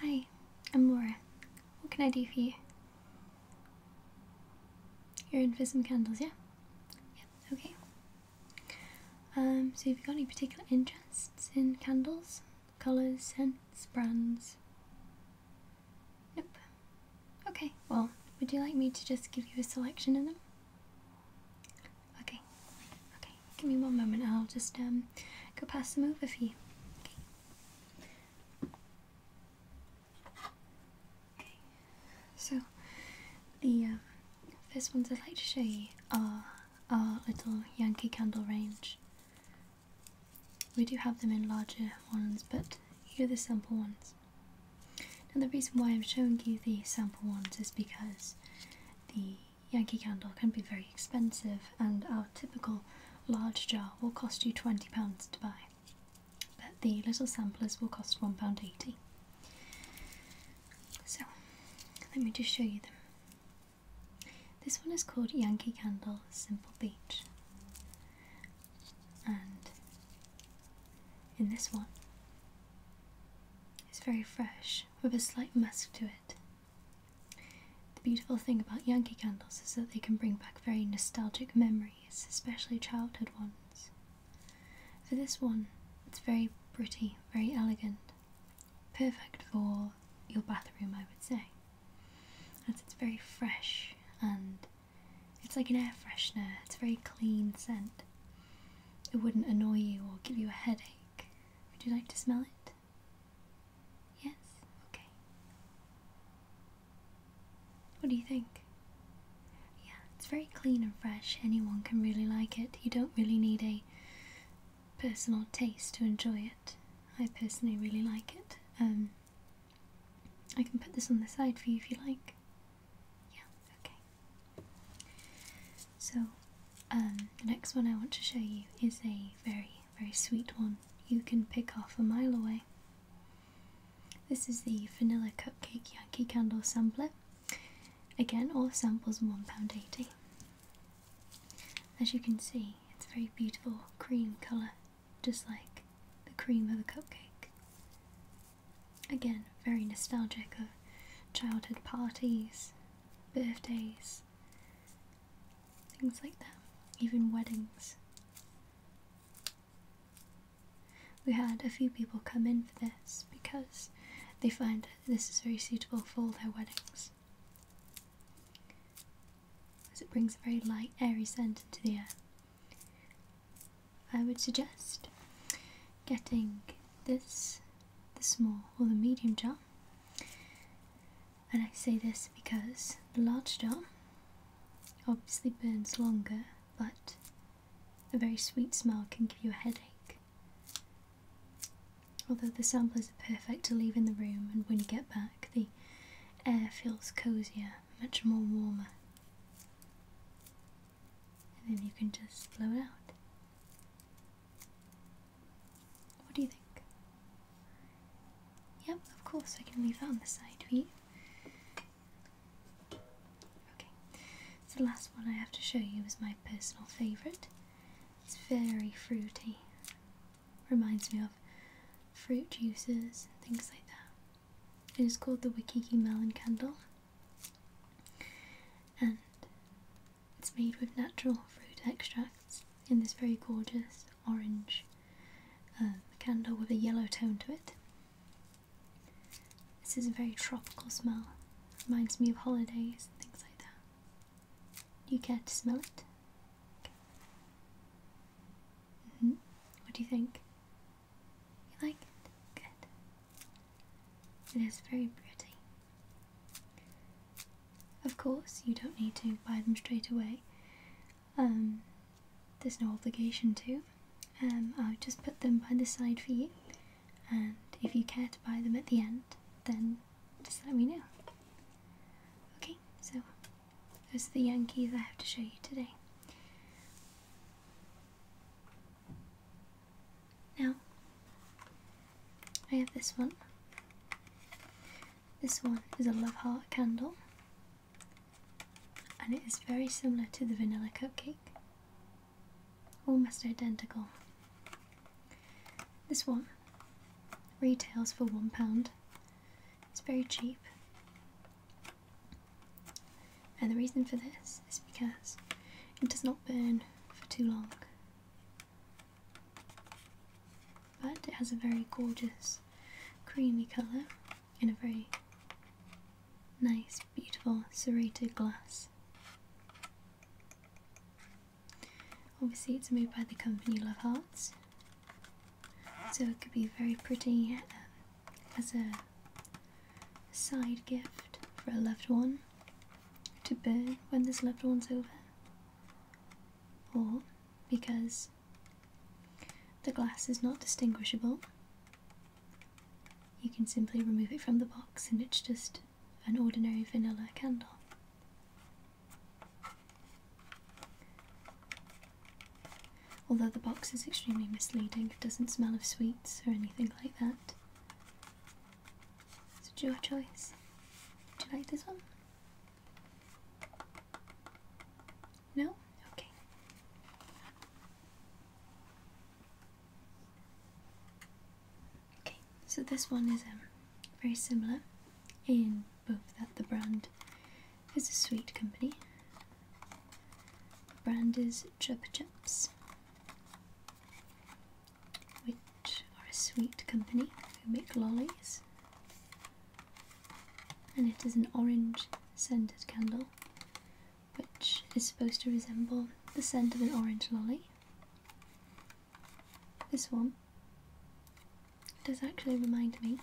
Hi, I'm Laura. What can I do for you? You're in for some candles, yeah? Yeah, okay. Um, so have you got any particular interests in candles? Colours, scents, brands? Nope. Okay, well, would you like me to just give you a selection of them? Okay, okay. Give me one moment. I'll just um go pass them over for you. Okay. So the um, first ones I'd like to show you are our little Yankee candle range. We do have them in larger ones, but here are the sample ones. Now the reason why I'm showing you the sample ones is because the Yankee Candle can be very expensive, and our typical large jar will cost you £20 to buy, but the little samplers will cost £1.80. So, let me just show you them. This one is called Yankee Candle Simple Beach, and in this one, it's very fresh with a slight musk to it. The beautiful thing about Yankee candles is that they can bring back very nostalgic memories, especially childhood ones. For this one, it's very pretty, very elegant, perfect for your bathroom, I would say. it's very fresh and it's like an air freshener, it's a very clean scent. It wouldn't annoy you or give you a headache. Would you like to smell it? Yes? Okay. What do you think? Yeah, it's very clean and fresh. Anyone can really like it. You don't really need a personal taste to enjoy it. I personally really like it. Um, I can put this on the side for you if you like. Yeah, okay. So, um, the next one I want to show you is a very, very sweet one you can pick off a mile away. This is the Vanilla Cupcake Yankee Candle Sampler. Again, all samples one pound eighty. As you can see, it's a very beautiful cream colour, just like the cream of a cupcake. Again, very nostalgic of childhood parties, birthdays, things like that, even weddings. We had a few people come in for this because they find this is very suitable for their weddings. As it brings a very light, airy scent into the air. I would suggest getting this, the small or the medium jar, and I say this because the large jar obviously burns longer, but a very sweet smell can give you a headache. Although the samplers are perfect to leave in the room, and when you get back, the air feels cozier, much more warmer. And then you can just blow it out. What do you think? Yep, of course, I can leave that on the side for Okay, the last one I have to show you is my personal favourite. It's very fruity, reminds me of fruit juices and things like that. It is called the Wakiki Melon Candle, and it's made with natural fruit extracts in this very gorgeous orange um, candle with a yellow tone to it. This is a very tropical smell. Reminds me of holidays and things like that. Do you care to smell it? -hmm. What do you think? You like it? Good. It is very pretty. Of course, you don't need to buy them straight away. Um, there's no obligation to. Um, I'll just put them by the side for you, and if you care to buy them at the end, then just let me know. Okay, so those are the Yankees I have to show you today. Now, I have this one. This one is a love heart candle and it is very similar to the vanilla cupcake, almost identical. This one retails for £1, it's very cheap. And the reason for this is because it does not burn for too long. But it has a very gorgeous creamy colour in a very nice, beautiful serrated glass. Obviously, it's made by the company Love Hearts, so it could be very pretty um, as a side gift for a loved one to burn when this loved one's over or because the glass is not distinguishable, you can simply remove it from the box and it's just an ordinary vanilla candle. Although the box is extremely misleading, it doesn't smell of sweets or anything like that. So it's your choice. Would you like this one? No? Okay. Okay, so this one is um, very similar in both that the brand is a sweet company. The brand is Chupa Chups, or a sweet company who make lollies. And it is an orange scented candle, which is supposed to resemble the scent of an orange lolly. This one does actually remind me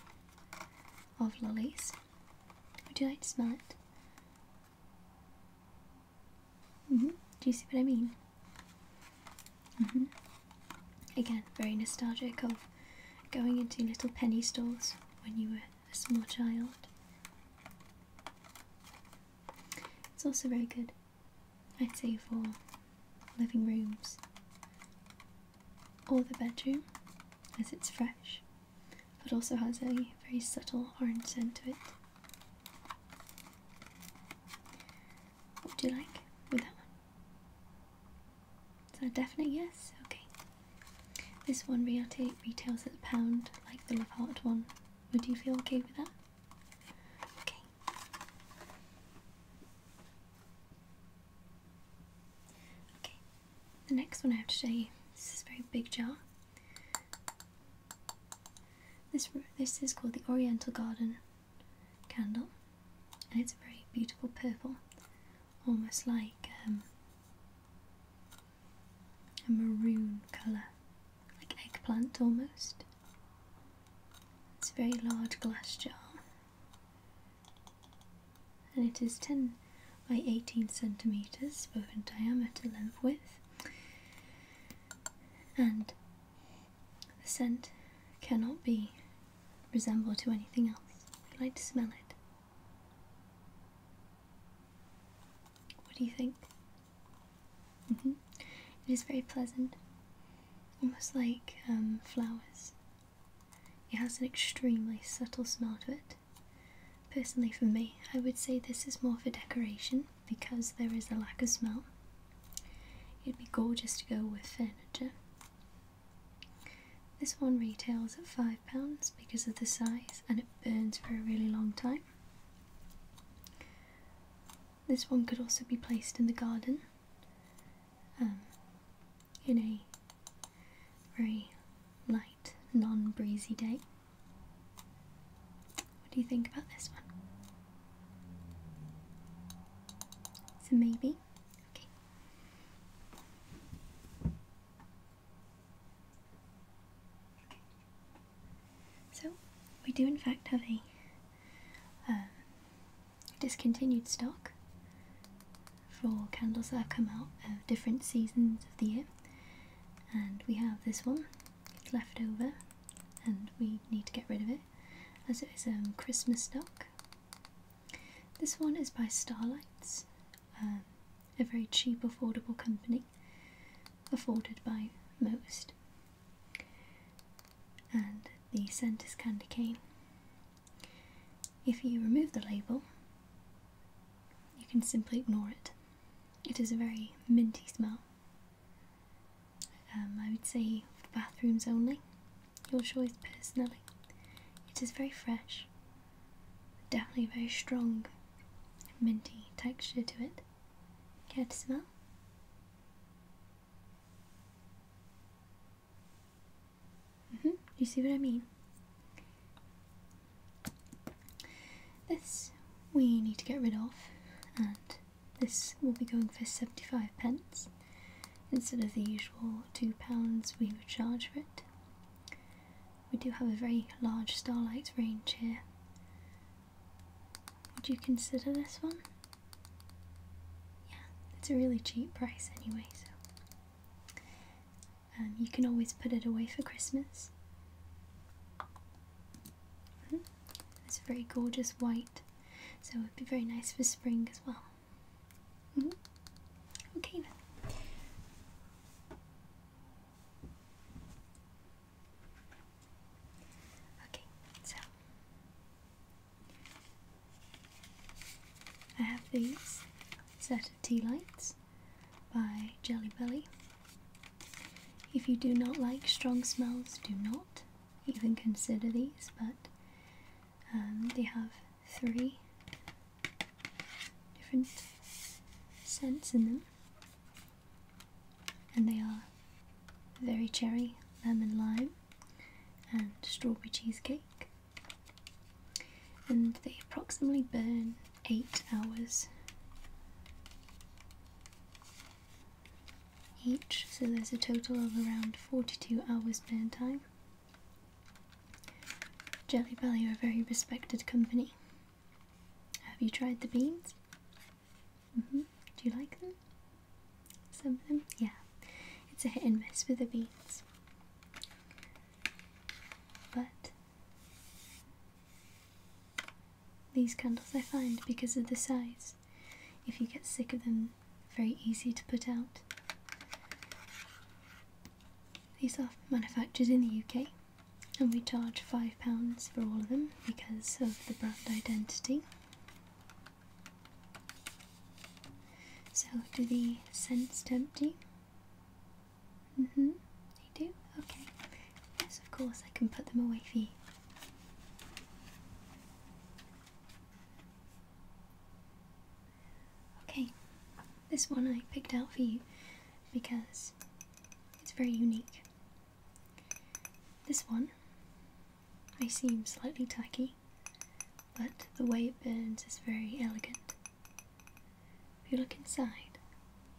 of lollies. Would you like to smell it? Mm-hmm. Do you see what I mean? Mm-hmm. Again, very nostalgic of going into little penny stores when you were a small child. It's also very good, I'd say, for living rooms or the bedroom as it's fresh, but also has a very subtle orange scent to it. What do you like with that one? So, that definite yes? Okay. This one Riate retails at the pound, like the Love Heart one. Would you feel okay with that? Okay. Okay. The next one I have to show you. This is a very big jar. This this is called the Oriental Garden candle, and it's a very beautiful purple, almost like um, a maroon colour, like eggplant almost. It's a very large glass jar, and it is 10 by 18 centimetres, both in diameter, length, width, and the scent cannot be resembled to anything else. I'd like to smell it. What do you think? Mm-hmm. It is very pleasant, almost like um, flowers. It has an extremely subtle smell to it. Personally, for me, I would say this is more for decoration because there is a lack of smell It'd be gorgeous to go with furniture. This one retails at £5 because of the size and it burns for a really long time. This one could also be placed in the garden um, in a very light, non breezy day. What do you think about this one? So maybe me? Okay. So, we do in fact have a um, discontinued stock for candles that have come out of different seasons of the year. And we have this one, left over, and we need to get rid of it as it is a um, Christmas stock this one is by Starlights, um, a very cheap, affordable company, afforded by most. And the scent is candy cane. If you remove the label, you can simply ignore it. It is a very minty smell. Um, I would say bathrooms only, your choice personally. It is very fresh, definitely very strong, minty texture to it. Can't smell? Mm hmm You see what I mean? This we need to get rid of and this will be going for 75 pence instead of the usual £2 we would charge for it. We do have a very large starlight range here. Would you consider this one? Yeah, it's a really cheap price anyway, so. Um, you can always put it away for Christmas. Mm -hmm. It's very gorgeous white, so it would be very nice for spring as well. Mm-hmm. Okay Okay, so I have these set of tea lights by Jelly Belly. If you do not like strong smells, do not even consider these, but um, they have three different scents in them, and they are very cherry, lemon lime, and strawberry cheesecake. And they approximately burn eight hours each, so there's a total of around 42 hours burn time. Jelly Belly are a very respected company. Have you tried the beans? -hmm. Do you like them? Some of them? Yeah. It's a hit and miss with the beans. But these candles I find because of the size if you get sick of them, very easy to put out. These are manufactured in the UK and we charge £5 for all of them because of the brand identity. So do the scents tempt you? hmm they do? Okay. Yes, of course, I can put them away for you. Okay, this one I picked out for you because it's very unique. This one may seem slightly tacky, but the way it burns is very elegant. If you look inside,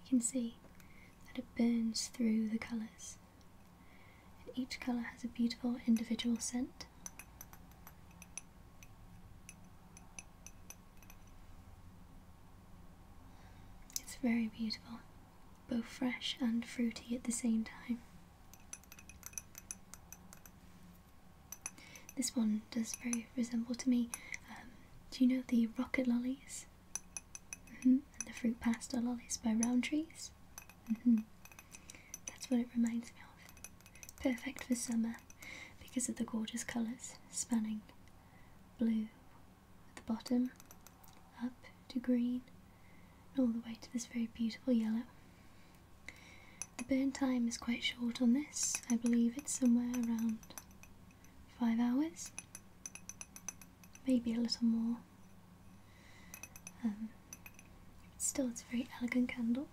you can see that it burns through the colours. And each colour has a beautiful individual scent. It's very beautiful, both fresh and fruity at the same time. This one does very resemble to me. Um, do you know the rocket lollies? Mm-hmm. And the fruit pasta lollies by Round Trees? Mm -hmm. That's what it reminds me of. Perfect for summer because of the gorgeous colours spanning blue at the bottom, up to green, and all the way to this very beautiful yellow. The burn time is quite short on this. I believe it's somewhere around five hours, maybe a little more. Um, still, it's a very elegant candle.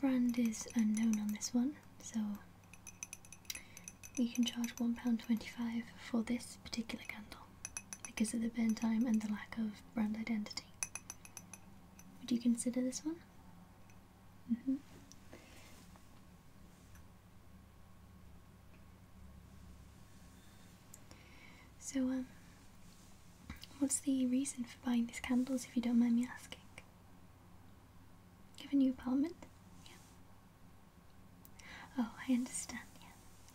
Brand is unknown on this one, so we can charge £1.25 for this particular candle because of the burn time and the lack of brand identity. Would you consider this one? -hmm. So, um, what's the reason for buying these candles if you don't mind me asking? You have a new apartment? Yeah. Oh, I understand, yeah.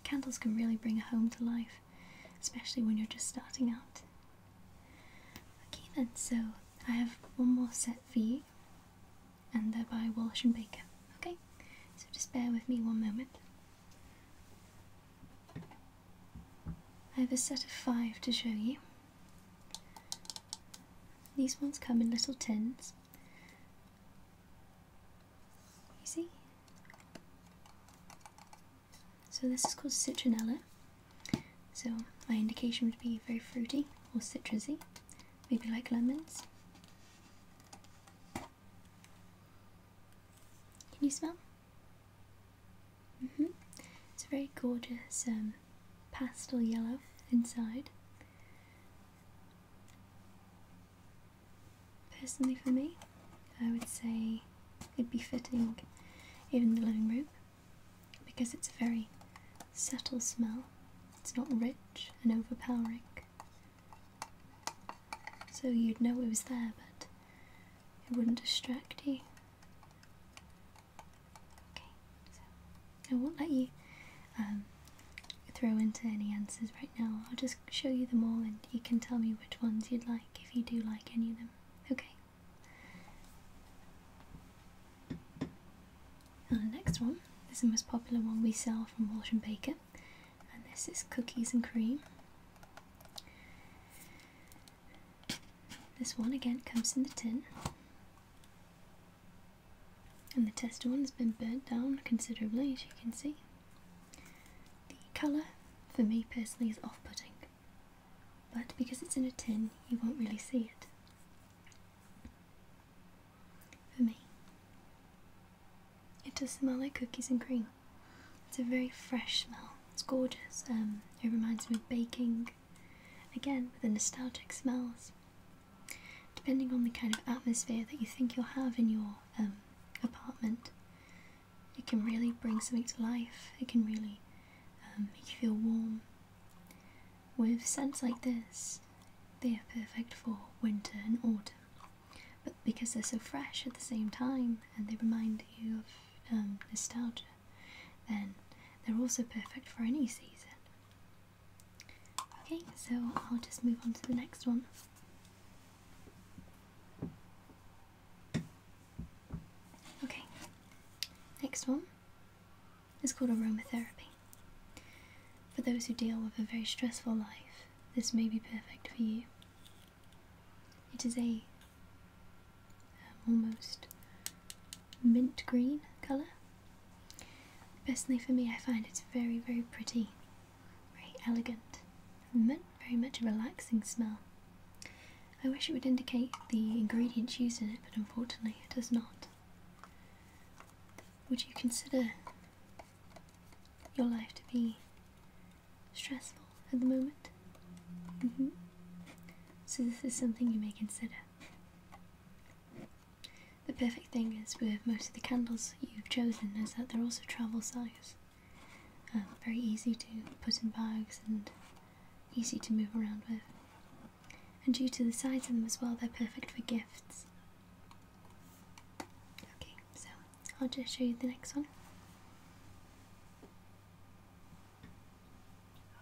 Candles can really bring a home to life, especially when you're just starting out. Okay then, so I have one more set for you, and they're by Walsh and Baker, okay? So just bear with me one moment. I have a set of five to show you. These ones come in little tins. You see? So this is called citronella. So my indication would be very fruity or citrusy, maybe like lemons. Can you smell? Mm -hmm. It's a very gorgeous um, pastel yellow inside. Personally, for me, I would say it'd be fitting in the living room because it's a very subtle smell. It's not rich and overpowering so you'd know it was there, but it wouldn't distract you. Okay, so I won't let you um, throw into any answers right now. I'll just show you them all and you can tell me which ones you'd like if you do like any of them. Okay. And the next one this is the most popular one we sell from Walsh and Baker, and this is cookies and cream. This one again comes in the tin. And the test one's been burnt down considerably, as you can see. The colour, for me personally, is off putting, but because it's in a tin, you won't really see it. For me, it does smell like cookies and cream. It's a very fresh smell. It's gorgeous. Um, it reminds me of baking. Again, with the nostalgic smells. Depending on the kind of atmosphere that you think you'll have in your um, apartment, it can really bring something to life. It can really um, make you feel warm. With scents like this, they are perfect for winter and autumn, but because they're so fresh at the same time and they remind you of um, nostalgia, then they're also perfect for any season. Okay, so I'll just move on to the next one. Okay, next one is called aromatherapy. For those who deal with a very stressful life, this may be perfect for you. It is a um, almost mint green colour. Personally, for me, I find it's very, very pretty, very elegant, and very much a relaxing smell. I wish it would indicate the ingredients used in it, but unfortunately, it does not. Would you consider your life to be stressful at the moment. Mm-hmm. So, this is something you may consider. The perfect thing is with most of the candles you've chosen is that they're also travel size. Um, very easy to put in bags and easy to move around with. And due to the size of them as well, they're perfect for gifts. Okay, so I'll just show you the next one.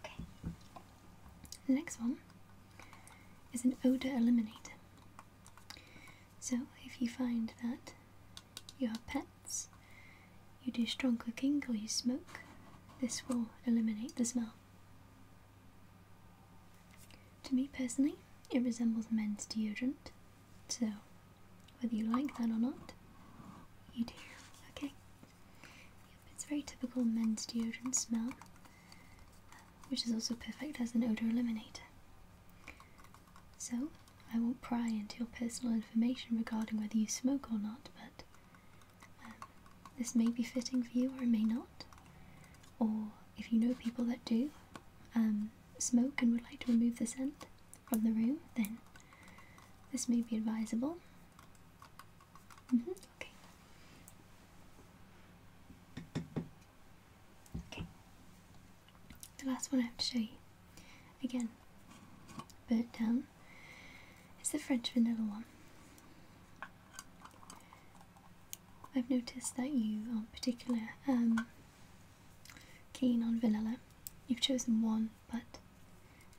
Okay. The next one is an odor eliminator. So if you find that you have pets, you do strong cooking or you smoke, this will eliminate the smell. To me personally, it resembles men's deodorant, so, whether you like that or not, you do, okay? Yep, it's very typical men's deodorant smell, which is also perfect as an odor eliminator. So, I won't pry into your personal information regarding whether you smoke or not, but um, this may be fitting for you or it may not. Or if you know people that do um, smoke and would like to remove the scent from the room, then this may be advisable. Mm-hmm, okay. Okay. The last one I have to show you, again, but down, is the French vanilla one. I've noticed that you are particular um, Keen on vanilla. You've chosen one, but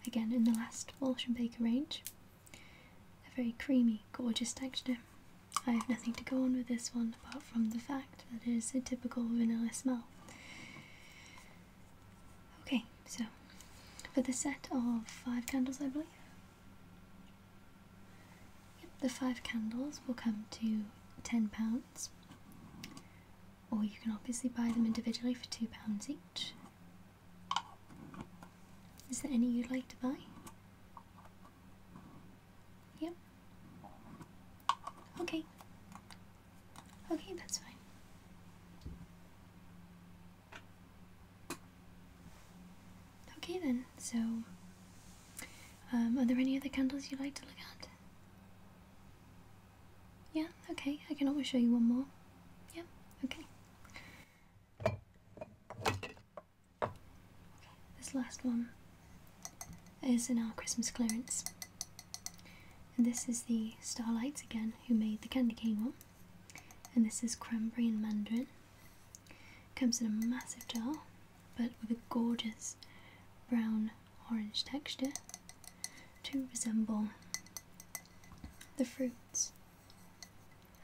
again in the last Walsh and Baker range, a very creamy, gorgeous texture. I have nothing to go on with this one apart from the fact that it is a typical vanilla smell. Okay, so for the set of five candles, I believe. the five candles will come to £10 or you can obviously buy them individually for £2 each. Is there any you'd like to buy? Yep. Okay. Okay, that's fine. Okay then, so um, are there any other candles you'd like to look at? Yeah, okay, I can always show you one more. Yeah, okay. this last one is in our Christmas clearance. And this is the Starlights again, who made the candy cane one. And this is cranberry and mandarin. Comes in a massive jar, but with a gorgeous brown orange texture to resemble the fruits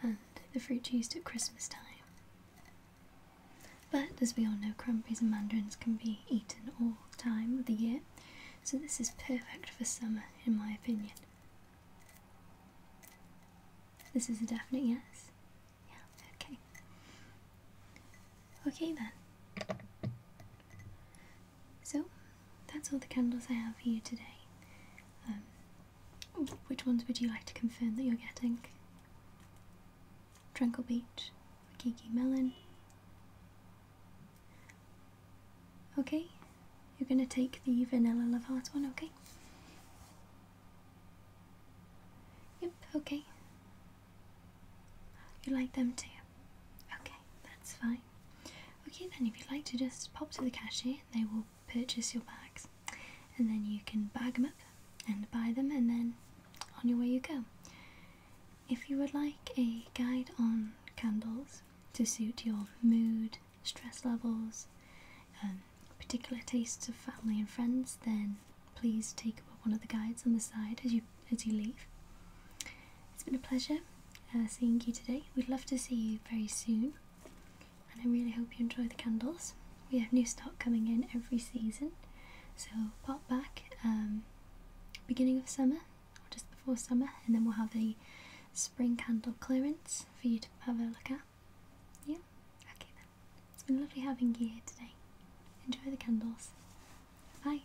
and the fruit used at Christmas time. But as we all know, cranberries and mandarins can be eaten all time of the year, so this is perfect for summer, in my opinion. This is a definite yes. Yeah, okay. Okay then. So, that's all the candles I have for you today. Um, which ones would you like to confirm that you're getting? Drunkle Beach, Kiki Melon. Okay, you're going to take the Vanilla Love one, okay? Yep, okay. You like them too? Okay, that's fine. Okay, then, if you'd like to just pop to the cashier, they will purchase your bags and then you can bag them up and buy them, and then on your way you go. If you would like a guide on candles to suit your mood, stress levels, um, particular tastes of family and friends, then please take one of the guides on the side as you as you leave. It's been a pleasure uh, seeing you today. We'd love to see you very soon, and I really hope you enjoy the candles. We have new stock coming in every season, so pop back um, beginning of summer or just before summer, and then we'll have a spring candle clearance for you to have a look at. Yeah, okay It's been lovely having you here today. Enjoy the candles. Bye.